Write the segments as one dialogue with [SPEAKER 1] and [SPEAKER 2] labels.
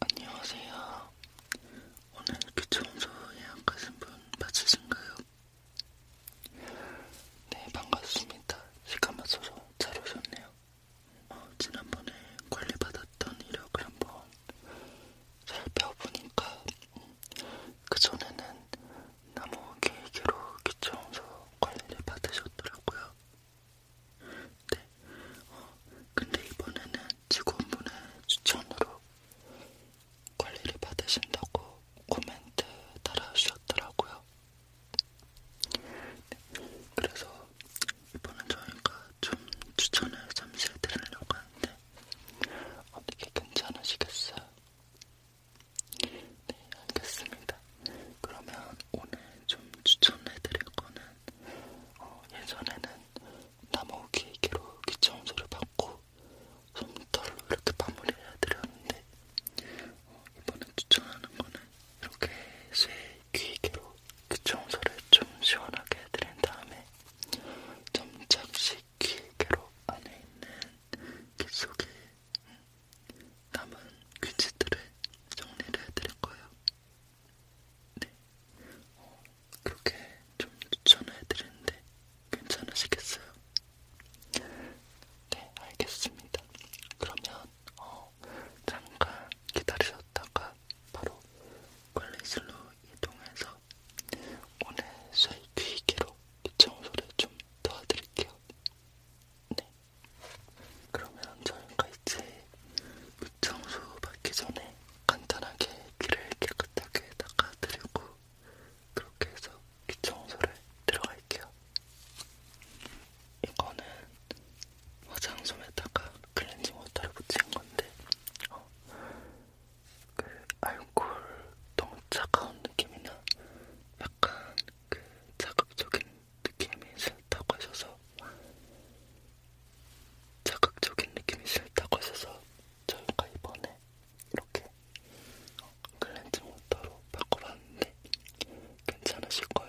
[SPEAKER 1] 안녕하세요. 오늘 귀청소 예약하신 분 맞으신가요? 네, 반갑습니다. 시간 맞춰서 잘 오셨네요. 어, 지난번에 관리받았던 이력을 한번 살펴보니까 음, 그 그전에는 나무 길기로 귀청소 관리를 받으셨더라고요. 네. 어, 근데 이번에는 직원분의 추천으로 관리를 받으신다고 코멘트 달아주셨더라고요. 네. 그래서 이번엔 저희가 좀 추천을 잠시 해드리려고 하는데 어떻게 괜찮으시겠어요? 네, 알겠습니다. 그러면 오늘 좀 추천해드릴 거는 어, 예전에는 나무 기계로 기체 청소를 받고 솜털로 이렇게 마무리해 드렸는데 어, 이번에 추천하는 거는 이렇게 쇠 기계로 기체 청소를 좀 시원하게 해드린 다음에 점착식 기계로 안에 있는 귀 속에 남은 귀지들을 정리를 해드릴 거예요. 네. 어, 그렇게 좀 추천을 해드렸는데 괜찮으시겠어요? 네, 알겠습니다. 그러면 어, 잠깐 기다리셨다가 바로 관리실로 이동해서 오늘 쇠귀기로 귀청소를 좀 도와드릴게요. 네. 그러면 저희가 이제 청소 받기 전에 간단하게 귀를 깨끗하게 닦아드리고 그렇게 해서 귀 청소를 들어갈게요. 이거는 화장솜에다가 클렌징 워터를 붙인 건데 어, 그 알코올 너무 차가운 느낌이나 약간 그 자극적인 느낌이 싫다고 하셔서 자극적인 느낌이 싫다고 하셔서 저희가 이번에 이렇게 클렌징 어, 워터로 바꿔봤는데 괜찮으실 거예요.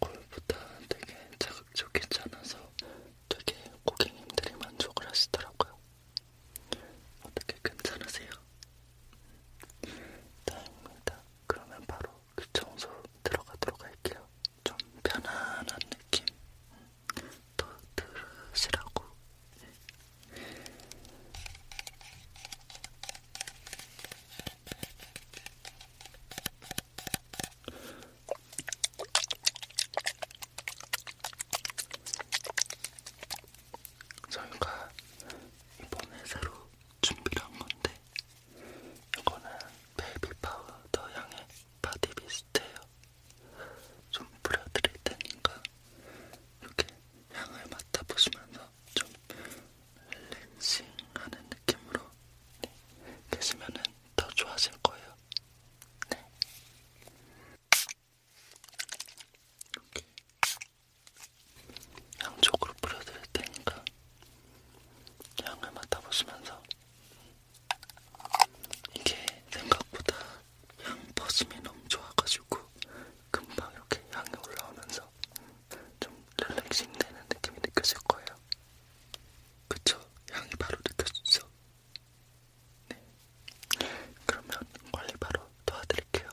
[SPEAKER 1] 얼굴보다 되게 자극적이지않아서 되게 고객님들이 만족을 하시더라고요. 어떻게 괜찮으세요? 다행입니다. 그러면 바로 그 청소 들어가도록 할게요. 좀 편안한 느낌 더 들으시라고 저희가 이번에 새로 준비를 한 건데, 이거는 베이비 파우더 향의 바디 미스트예요. 좀 뿌려드릴 테니까 이렇게 향을 맡아보시면서 좀 릴렉싱하는 느낌으로 네. 계시면은 더 좋아하실 거예요. 네. 이렇게 양쪽으로 뿌려드릴 테니까 향을 맡아보시면서 이게 생각보다 향버심이 너무 좋아가지고 금방 이렇게 향이 올라오면서 좀 릴렉싱 되는 느낌이 느껴질 거예요. 그쵸? 향이 바로 느껴지죠? 네. 그러면 관리 바로 도와드릴게요.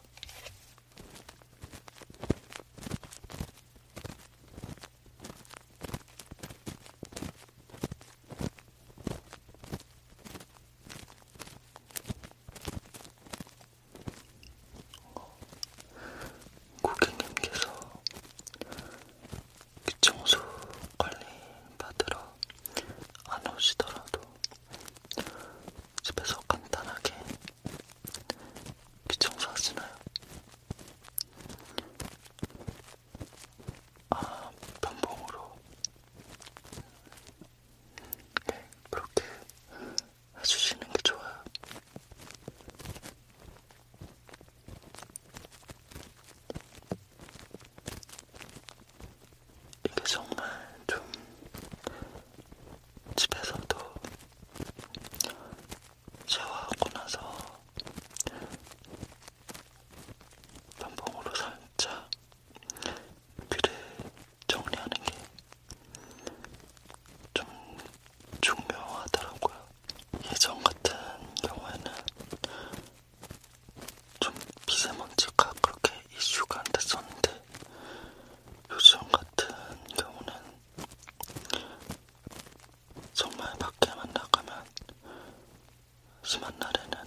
[SPEAKER 1] 고객님께서 귀청소 관리 받으러 안 오시더라도 집에서 간단하게 귀청소 하시나요? 아, 반봉으로 네, 그렇게 해주시는 게 좋아요. 이게 정말 좀 집에서도 샤워하고 나서 면봉으로 살짝 글을 정리하는 게 좀 중요하더라고요. 예전 같은 경우에는 좀 미세먼지가 그렇게 이슈가 안 됐었는데 요즘 같은 경우는 정말 밖에만 나가면 심한 날에는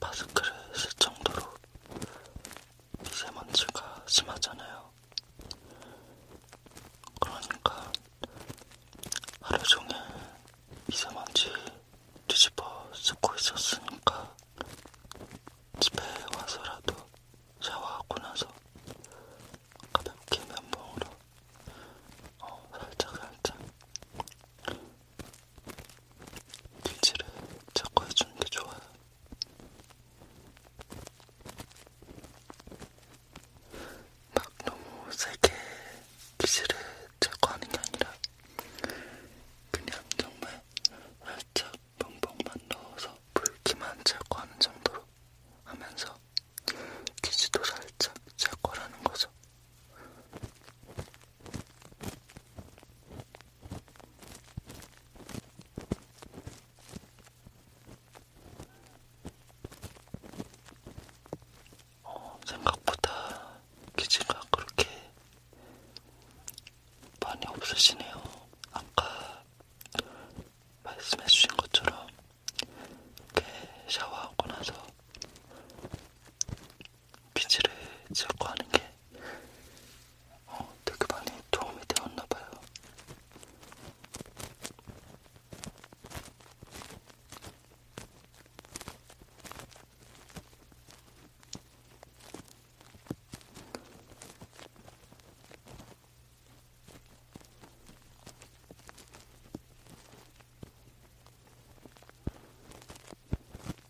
[SPEAKER 1] 마스크를 쓸 정도로 미세먼지가 심하잖아요. 그러니까 하루 종일 미세먼지 뒤집어 쓰고 있었으니까 집에 와서라도 샤워하고 나서 가볍게 면봉으로 어, 살짝 살짝 길질을 자꾸 해주는 게 좋아요. 막 너무 세게 길질을 자꾸 하는 게 아니라 그냥 정말 살짝 뻥뻥만 넣어서 불기만 자꾸 하는 정도로 하면서 기지도 살짝 자꾸 하는 거죠. 어, 생각보다 기지가 그렇게 많이 없으시네요. 아까 말씀해주신 것처럼 이렇게 샤워하고 나서 빗질을 자꾸 하는 게 어, 되게 많이 도움이 되었나 봐요.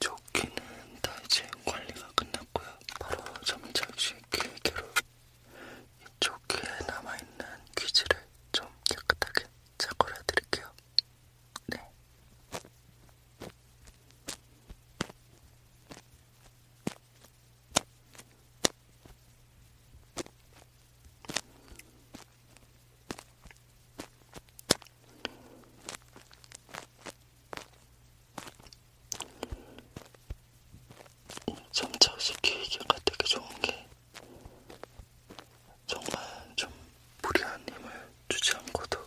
[SPEAKER 1] 조끼는 다 이제 관리가 끝났고요. 바로 잠자기 계획대로 이 조끼에 남아있는 귀지를 좀 깨끗하게 제거해드릴게요. 네. 점차식 기획가 되게 좋은 게 정말 좀 무리한 힘을 주지 않고도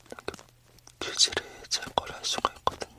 [SPEAKER 1] 이렇게 퀴즈를 그 제거할 수가 있거든요.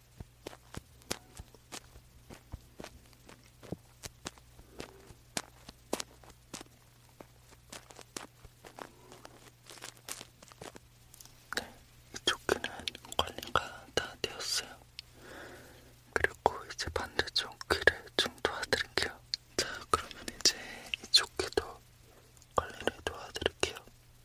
[SPEAKER 1] 네, 이쪽 귀는 관리가 다 되었어요. 그리고 이제 반대쪽 귀를 좀 도와드릴게요. 자, 그러면 이제 이쪽 귀도 관리를 도와드릴게요.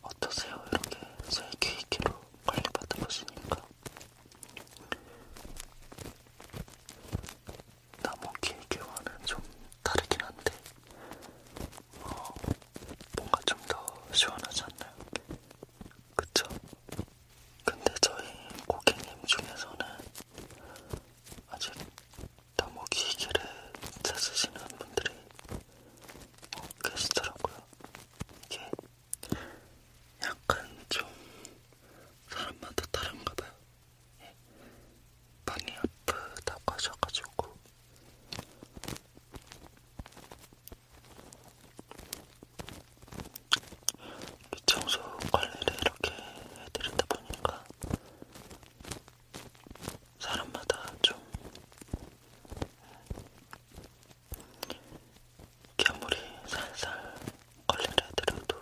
[SPEAKER 1] 어떠세요? 이렇게 셀기 있게로 관리 받아보시니까 남은 길게와는 좀 다르긴 한데 어, 뭔가 좀 더 시원하지 않나요? 그쵸? 근데 저희 고객님 중에서는 아직 너무 기계를 찾으시는 분들이 어, 계시더라고요. 이게 약간 좀 사람마다 다른가 봐요. 예. 많이 아프다고 하셔가지고. 이 청소 관리를 이렇게 해드리다 보니까 사람마다 좀 겨물이 살살 걸리려 드려도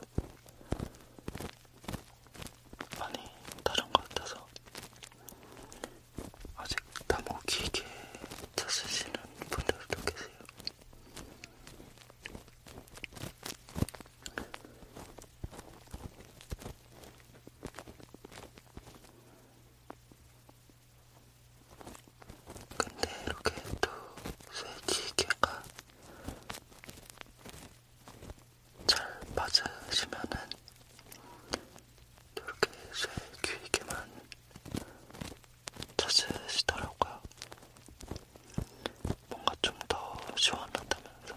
[SPEAKER 1] 많이 다른 것 같아서 아직 나무 기계 찾으시는 분들도 계세요. 근데 이렇게 또 쇠지개가 잘 맞으시면은 이렇게 쇠 귀개만 찾으시더라고요. 뭔가 좀 더 시원하다면서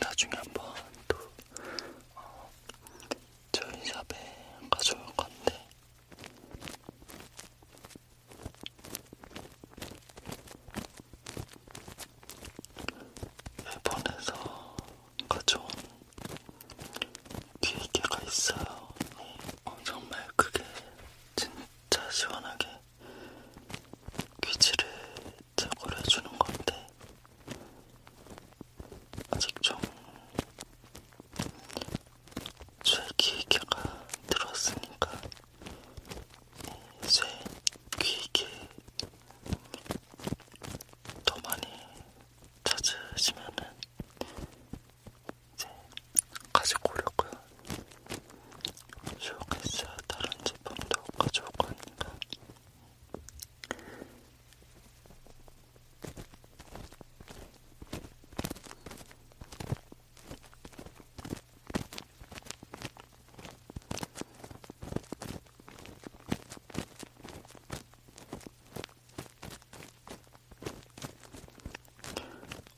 [SPEAKER 1] 나중에 한 번 또 어, 저희 샵에 가져올 건데 일본에서 가져온 귀개가 있어요. 어, 정말 그게 진짜 시원하게 귀지를 제거를 해주는 건데 아직 좀쇠 귀에가 들었으니까 이쇠 귀에 더 많이 찾으시면은 이제 가지고 오려고요. 쇼케이스 다른 제품도 가져올 거니까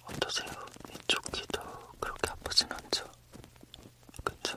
[SPEAKER 1] 어떠세요? 이쪽 귀도 그렇게 아프진 않죠? 그쵸?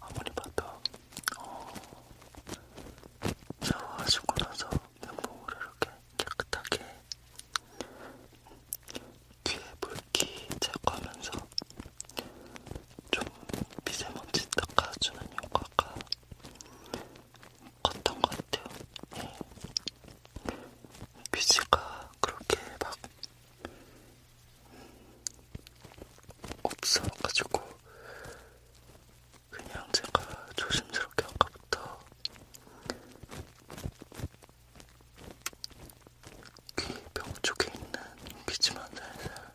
[SPEAKER 1] 아무리 봐도 어, 샤워하시고 나서 면봉으로 이렇게 깨끗하게 귀에 물기 제거하면서 좀 미세먼지 닦아주는 효과가 컸던 것 같아요. 예. 뮤지가 그렇게 막 없어가지고 그냥 제가 조심스럽게 아까부터 귀병 쪽에 있는 기침한 살살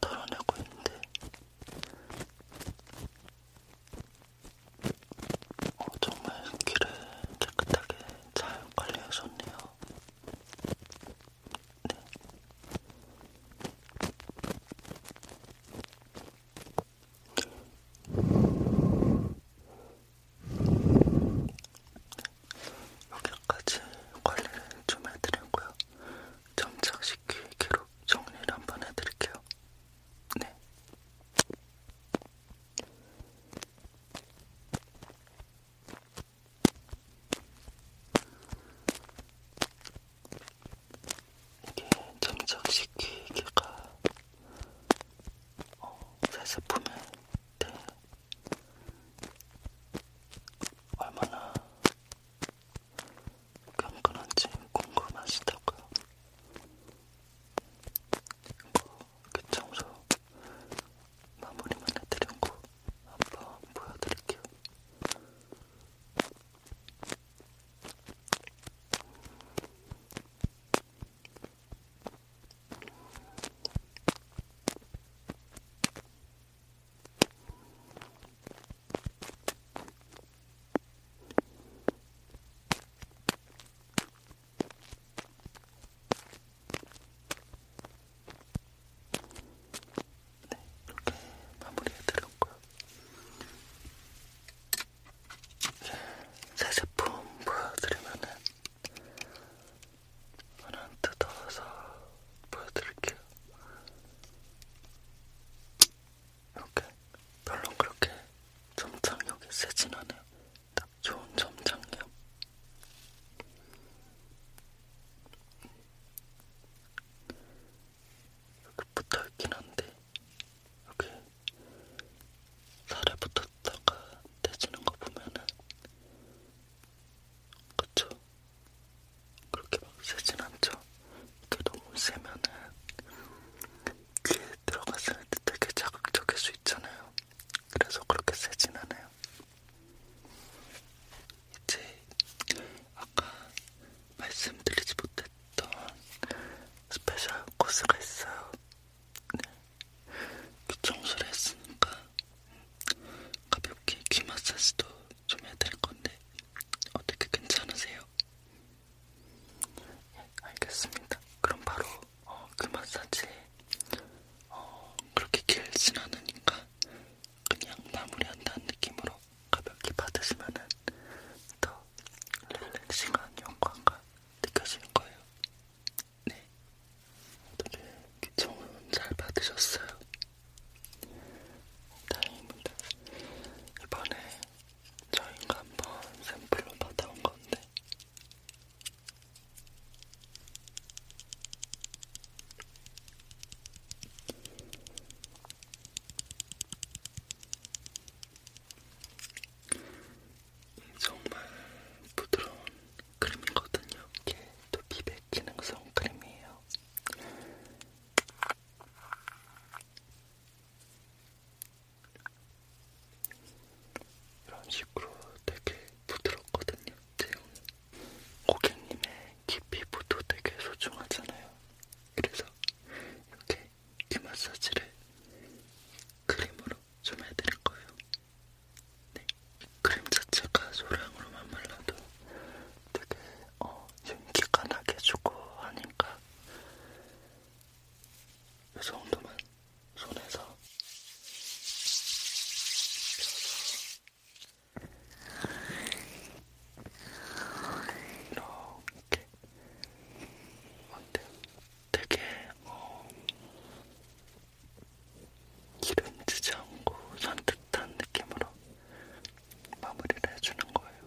[SPEAKER 1] 털어내고 있는데 어, 정말 귀를 깨끗하게 잘 관리하셨네요. 네. 여기까지 관리를 좀 해드렸고요. 점착식 기록 정리를 한번 해드릴게요. 네. 이게 정착시키기가 어, 사실 보면 네. 얼마나 경건한지 궁금하시다고요. 이거 뭐, 귓청소 마무리만 해드리고 한번 보여드릴게요. 네, 이렇게 마무리해드렸고요. 새 제품 보여드리면은 하나 뜯어서 보여드릴게요. 이렇게 별로 그렇게 점착력이 세진 않아요. 딱딱 좋은 점장이요. 여기 붙어있긴 한데 여기 살에 붙었다가 떼지는 거 보면은 그쵸? 그렇게 막 세진 않죠? 이게 너무 세면은 귀에 들어갔을 때 되게 자극적일 수 있잖아요. 그래서 그렇게 세진 않아요. 이제 아까 말씀드리지 못했던 스페셜 코스가 있어요. 네. 귀 청소를 했으니까 가볍게 귀 마사지도 좀 해드릴 건데 어떻게 괜찮으세요? 예, 알겠습니다. 그럼 바로 어, 그 마사지 어, 그렇게 길진 않으니까 그냥 마무리한다는 느낌으로 가볍게 받으시면 더 릴렉싱한 영광과 느껴질 거예요. 네, 오늘 귀청은 잘 받으셨어요. 다행입니다. 이번에 저희가 한번 샘플로 받아온 건데 정말 부드러운 크림이거든요. 이게 또 피백 기능성 크림이에요. 이런 식으로 되게 부드럽거든요. 제형은 고객님의 귀 피부도 되게 소중하잖아요. 그래서 이렇게 귀 마사지를 크림으로 좀 해드릴 거예요. 네. 크림 자체가 소량으로만 발라도 되게 어, 윤기가 나게 주고 하니까 이 정도만 손에서 이렇게 근데 되게 어, 기름지지 않고 산뜻한 느낌으로 마무리를 해주는 거예요.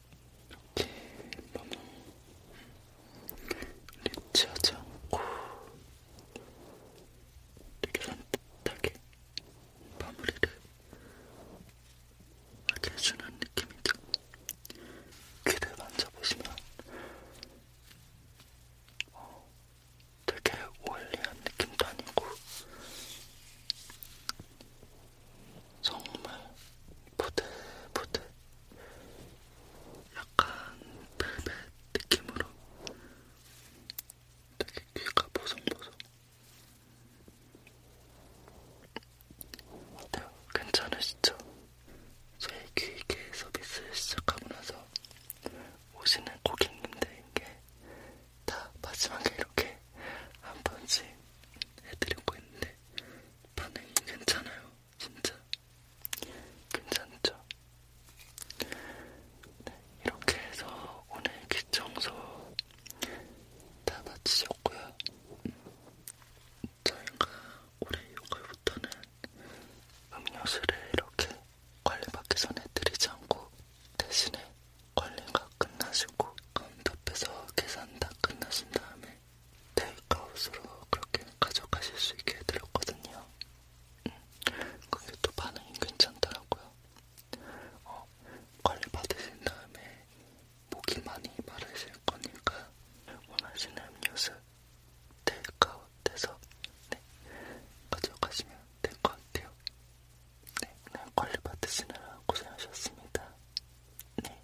[SPEAKER 1] 이렇게 너무 리치하지 않고 되게 산뜻하게 마무리를 하게 해주는 느낌이죠. 귀를 만져보시면 어, 되게 오일리한 느낌도 아니고 정말 부들부들 약간 벨벳 느낌으로 되게 귀가 보송보송. 어때요? 네, 괜찮으시죠? 저희 귀개 서비스 시작하고 나서 오시는 고객님들에게 다 마지막에 이렇게 한 번씩 해드리고 있는데 반응이 괜찮아요. 진짜 괜찮죠? 네, 이렇게 해서 오늘 귀청소 다 마치셨고요. 저희가 올해 6월부터는 음료수를 이렇게 관리받기 전에 드리지 않고 대신에 관리가 끝나시고 카운터 그 앞에서 계산 다 끝나신 다음에 테이크아웃으로 그렇게 가져가실 수 있게 해드렸거든요. 그게 음. 또 반응이 괜찮더라고요. 어, 관리 받으신 다음에 목이 많이 마르실 거니까 원하시는 음료수 테이크아웃해서 네, 가져가시면 될 것 같아요. 네, 네 관리 받으시느라 고생하셨습니다. 네,